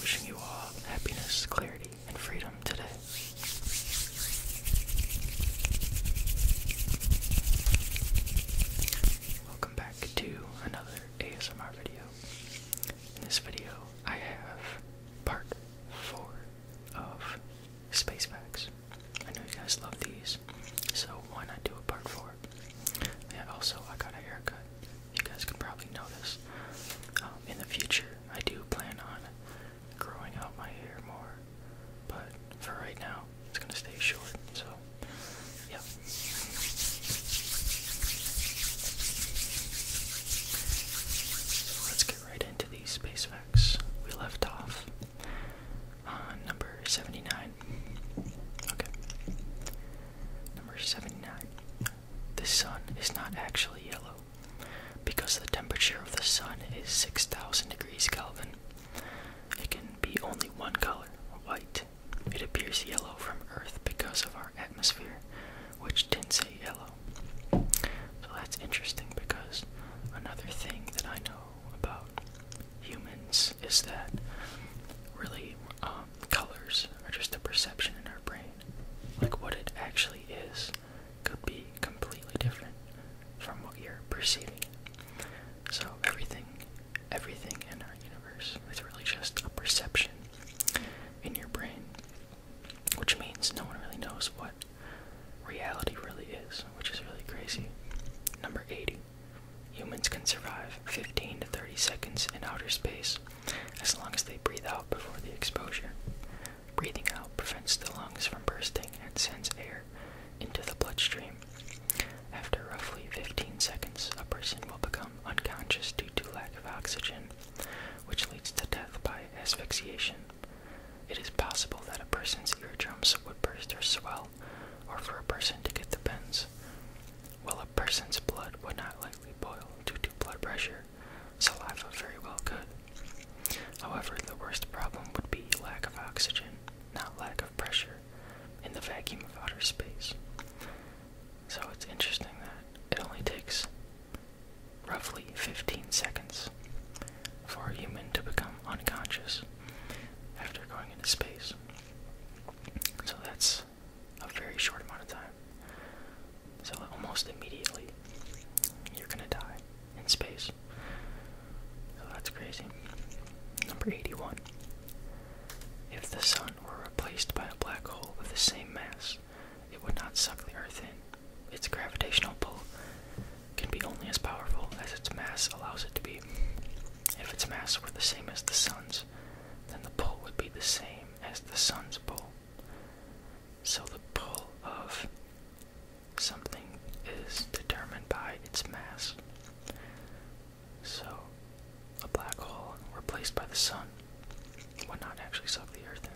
Wishing you all happiness, clarity, and freedom today. Welcome back to another ASMR video. In this video, I have part 4 of Space Facts. I know you guys love these, so why not do a part four? Yeah, also, I got a haircut. You guys can probably notice. Um, in the future, I do plan on growing out my hair more, but for right now, it's gonna stay short, so, yeah. let's get right into these space facts. We left off uh, number 79. Okay. Number 79. The sun is not actually yellow because the temperature of the sun is 6000 degrees Kelvin. It can be only one color, white. It appears yellow from Earth because of our atmosphere, which tints it yellow. So that's interesting because another thing that I know about humans is that really um, colors are just a perception in our brain. Like what it actually is could be completely different from what you're perceiving. So everything, everything in our universe is really just a perception in your brain, which means no one really knows what reality really is, which is really crazy. Number 80. Humans can survive 15 to 30 seconds in outer space as long as they breathe out before the exposure. Breathing out prevents the lungs from bursting and sends air into the bloodstream. After roughly 15 seconds, a person will become unconscious due to lack of oxygen, which leads to death by asphyxiation. It is possible that a person's eardrums would burst or swell well, or for a person to get the pins. Well, a person's blood would not likely boil due to blood pressure. Saliva very well could. However, the worst problem would be lack of oxygen, not lack of pressure, in the vacuum of outer space. So it's interesting that it only takes roughly 15 seconds for a human to become unconscious after going into space. So that's a very short amount of time. So almost immediately, you're gonna die in space. So that's crazy. Number 81. If the sun were replaced by a black hole of the same mass, it would not suck the Earth in. Its gravitational pull can be only as powerful as its mass allows it to be. If its mass were the same as the sun's, then the pull would be the same as the sun's pull. So the pull of something is determined by its mass. So a black hole replaced by the sun would not actually suck the earth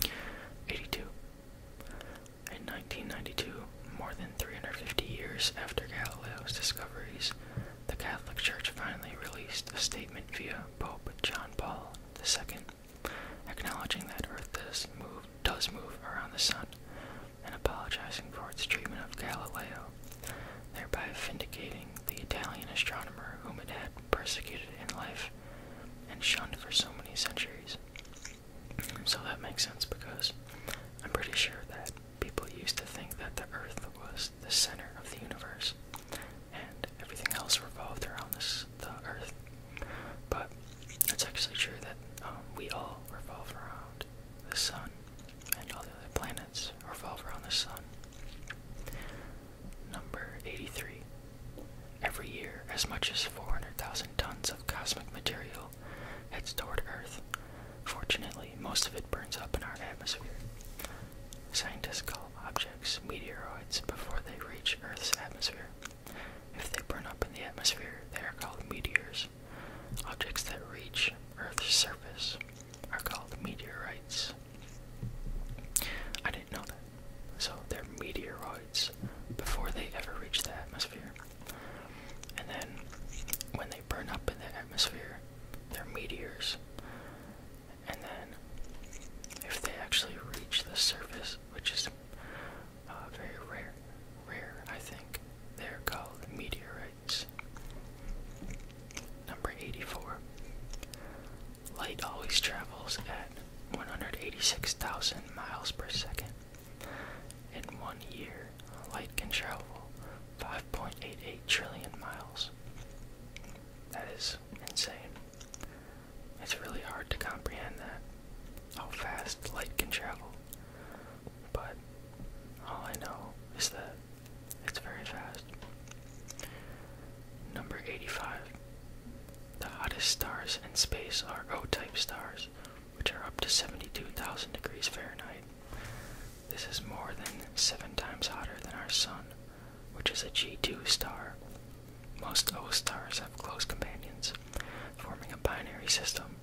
in. 82. In 1992, more than 350 years after Galileo's discoveries, the Catholic Church finally released a statement via Pope John Paul II, acknowledging that Earth does move, around the Sun and apologizing for its treatment of Galileo, thereby vindicating the Italian astronomer whom it had persecuted in life and shunned for so many centuries. So that makes sense because I'm pretty sure that people used to think that the Earth was the center of the universe and everything else revolved around this the Earth. But it's actually true that um, we all revolve around the sun, and all the other planets revolve around the sun. Number 83. Every year, as much as 400,000 tons of cosmic material hits toward Earth. Fortunately, most of it burns up in our atmosphere. Scientists call objects meteoroids before they reach Earth's atmosphere. If they burn up in the atmosphere, they are called meteors. Objects that reach Earth's surface are called meteorites. I didn't know that. So they're meteoroids before they ever reach the atmosphere. And then when they burn up in the atmosphere, they're meteors. And then if they actually reach the surface, which is uh, very rare, rare I think, they're called meteorites. Number 84. Light always travels at 186,000 miles per second. In one year, light can travel 5.88 trillion miles. That is insane. It's really hard to comprehend that, how fast light can travel. But all I know is that it's very fast. Number 85. The hottest stars in space are O-type stars, which are up to 72,000 degrees Fahrenheit. This is more than seven times hotter than our Sun, which is a G2 star. Most O stars have close companions, forming a binary system.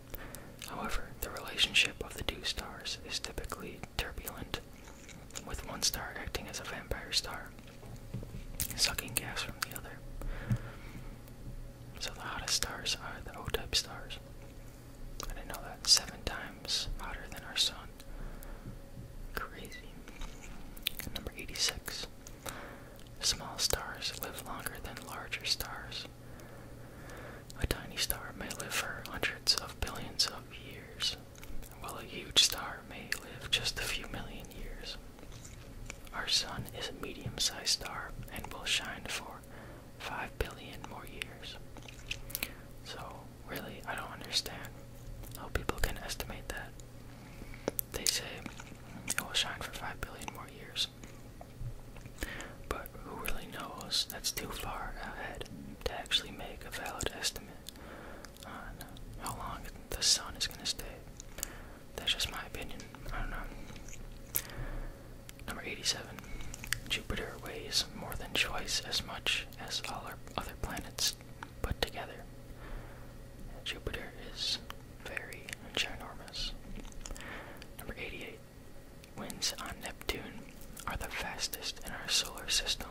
However, the relationship of the two stars is typically turbulent, with one star acting as a vampire star sucking gas from the other. So the hottest stars are the O-type stars. I didn't know that. Seven times hotter than our sun. Crazy. Number 86. Small stars live longer than larger stars. A tiny star may live for hundreds of billions of years, while a huge star may live just a few million years. Our sun is a medium sized star and will shine for 5 billion more years. So, really, I don't understand how people can estimate that. They say it will shine for 5 billion more years. But who really knows? That's too far ahead to actually make a valid estimate on how long the sun is going to stay that's just my opinion. I don't know. Number 87. Jupiter weighs more than twice as much as all our other planets put together. Jupiter is very ginormous. Number 88. Winds on Neptune are the fastest in our solar system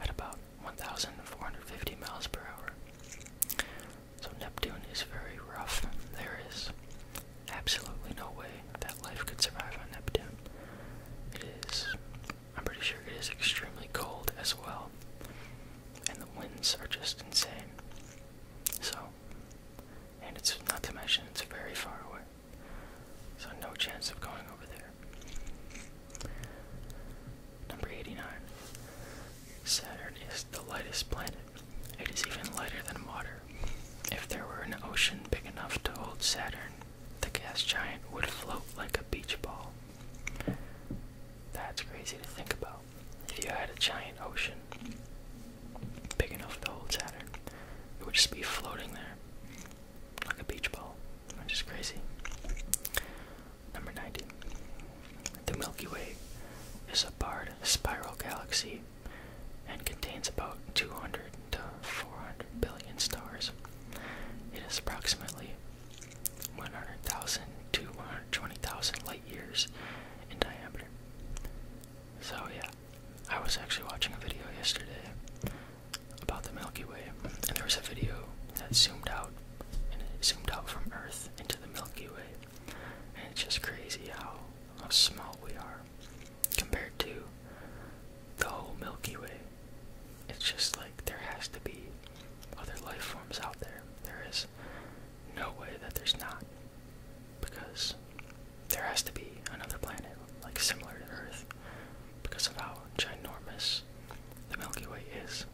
at about 1,450 miles per hour. So Neptune is very rough. There is absolutely no way that life could survive on Neptune. It is, I'm pretty sure it is extremely cold as well. And the winds are just insane. So, and it's not to mention it's very far away. So, no chance of going over there. Number 89. Saturn is the lightest planet. It is even lighter than water. If there were an ocean big enough to hold Saturn, the gas giant would float like a beach ball. That's crazy to think about. If you had a giant ocean big enough to hold Saturn, it would just be floating there like a beach ball, which is crazy. Number 19. The Milky Way is a barred spiral galaxy and contains about 200 to 400 billion stars. It is approximately 100,000 to 120,000 light years in diameter. So, yeah, I was actually watching a video yesterday about the Milky Way, and there was a video that zoomed out and it zoomed out from Earth into the Milky Way. And it's just crazy how, how small we are compared to the whole Milky Way. It's just like there has to be other life forms out there. There is no way that there's not. Because there has to be another planet, like similar to Earth, because of how ginormous the Milky Way is.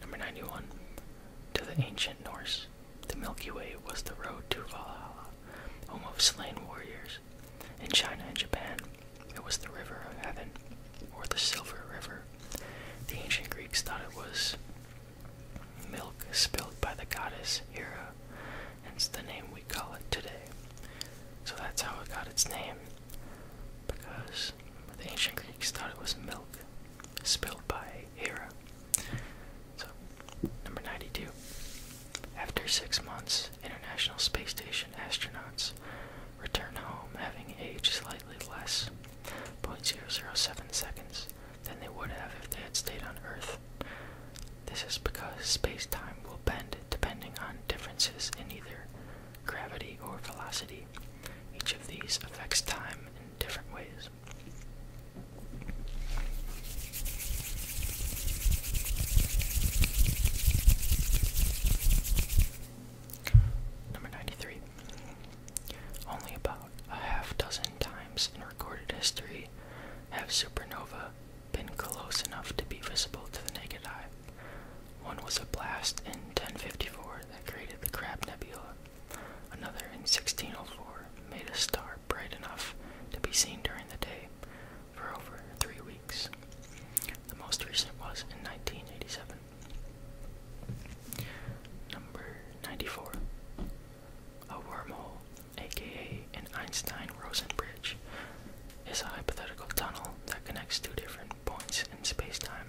Number 91. To the ancient Norse, the Milky Way was the road to Valhalla, home of slain warriors. In China and Japan, it was the River of Heaven, or the Silver River. The ancient Greeks thought it was milk spilled by the goddess Hera, hence the name we call it today. So that's how it got its name because the ancient Greeks thought it was milk spilled by Hera. So, number 92. After six months, International Space Station astronauts return home having aged slightly less, 0.007 seconds, than they would have if they had stayed on Earth. This is because space time will bend depending on differences in either gravity, or velocity. Each of these affects time in different ways. Number 93. Only about a half dozen times in recorded history have supernova been close enough to be visible to the naked eye. One was a blast in 1054 that created the Crab Nebula. Another in 1604 made a star bright enough to be seen during the day for over three weeks. The most recent was in 1987. Number 94. A wormhole, aka an Einstein Rosen bridge, is a hypothetical tunnel that connects two different points in space-time.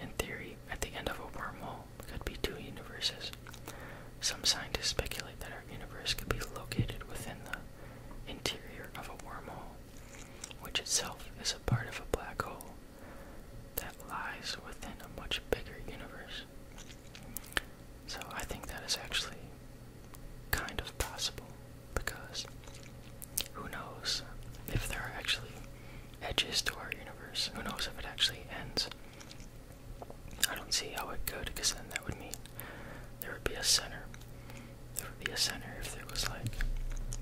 In theory, at the end of a wormhole could be two universes. Some scientists speculate that our universe could be located within the interior of a wormhole, which itself is a part of a black hole that lies within a much bigger universe. So I think that is actually kind of possible because who knows if there are actually edges to our universe? Who knows if it actually ends? I don't see how it could because then that would mean there would be a center. There would be a center if there was like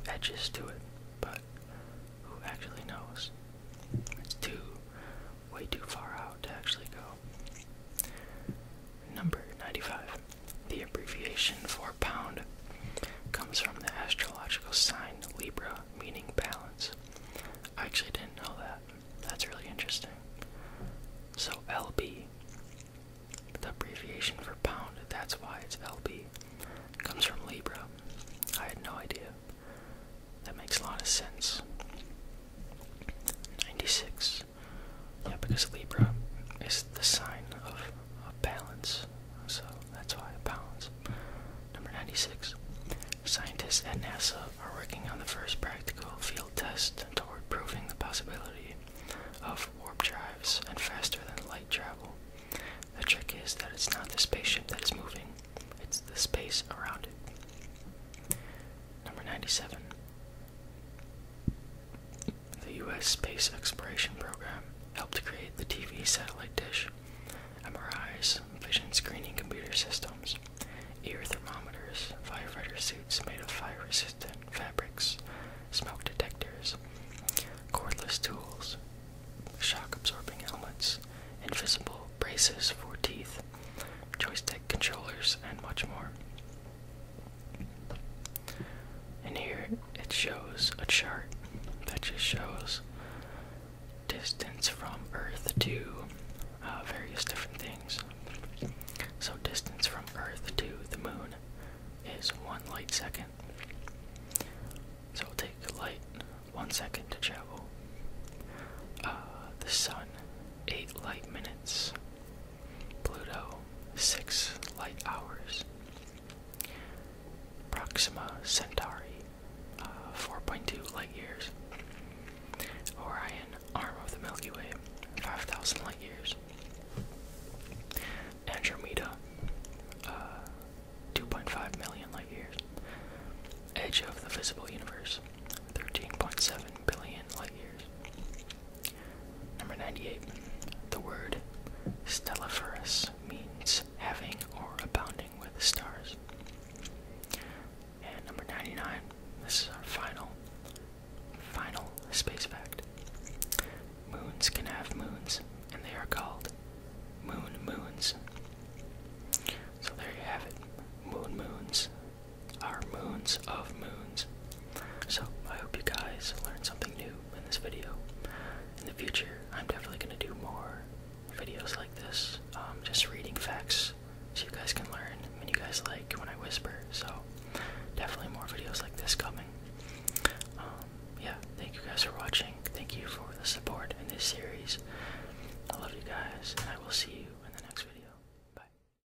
edges to it, but who actually knows? It's too, way too far out to actually go. Number 95. The abbreviation for pound comes from the astrological sign Libra, meaning balance. I actually didn't know that. That's really interesting. So, LB, the abbreviation for pound, that's why it's LB, comes from Libra. I had no idea. That makes a lot of sense. 96. Yeah, because Libra is the sign of, of balance, so that's why balance. Number 96. Scientists at NASA are working on the first practical field test toward proving the possibility of warp drives and faster than light travel. The trick is that it's not the spaceship that is moving, it's the space around it. Number 97. The U.S. space exploration program helped create the TV satellite dish, MRIs, vision screening computer systems, ear thermometers, firefighter suits made of fire resistant fabrics, smoke detectors, cordless tools, shock absorbing helmets, invisible braces for teeth, joystick controllers, and much more. And here it shows a chart that just shows distance from Earth to uh, various different things. So, distance from Earth to the moon is one light second. So, it'll take light one second to travel. Uh, the sun, eight light minutes. Pluto, six light hours. Proxima Centauri, uh, 4.2 light years. Orion, arm of the Milky Way, 5,000 light years. Andromeda, uh, 2.5 million light years. Edge of the visible universe, 13.7 billion light years. Number 98. The word stelliferous means having or abounding with stars. And number 99. This is our final, final space fact. Moons can have moons, and they are called moon moons. So there you have it. Moon moons our moons of moons. So I hope you guys learned something new in this video. In the future, I'm definitely going to do more videos like this, um, just reading facts so you guys can learn and you guys like when I whisper. So definitely more videos like this coming. Um, yeah, thank you guys for watching. Thank you for the support in this series. I love you guys, and I will see you in the next video. Bye.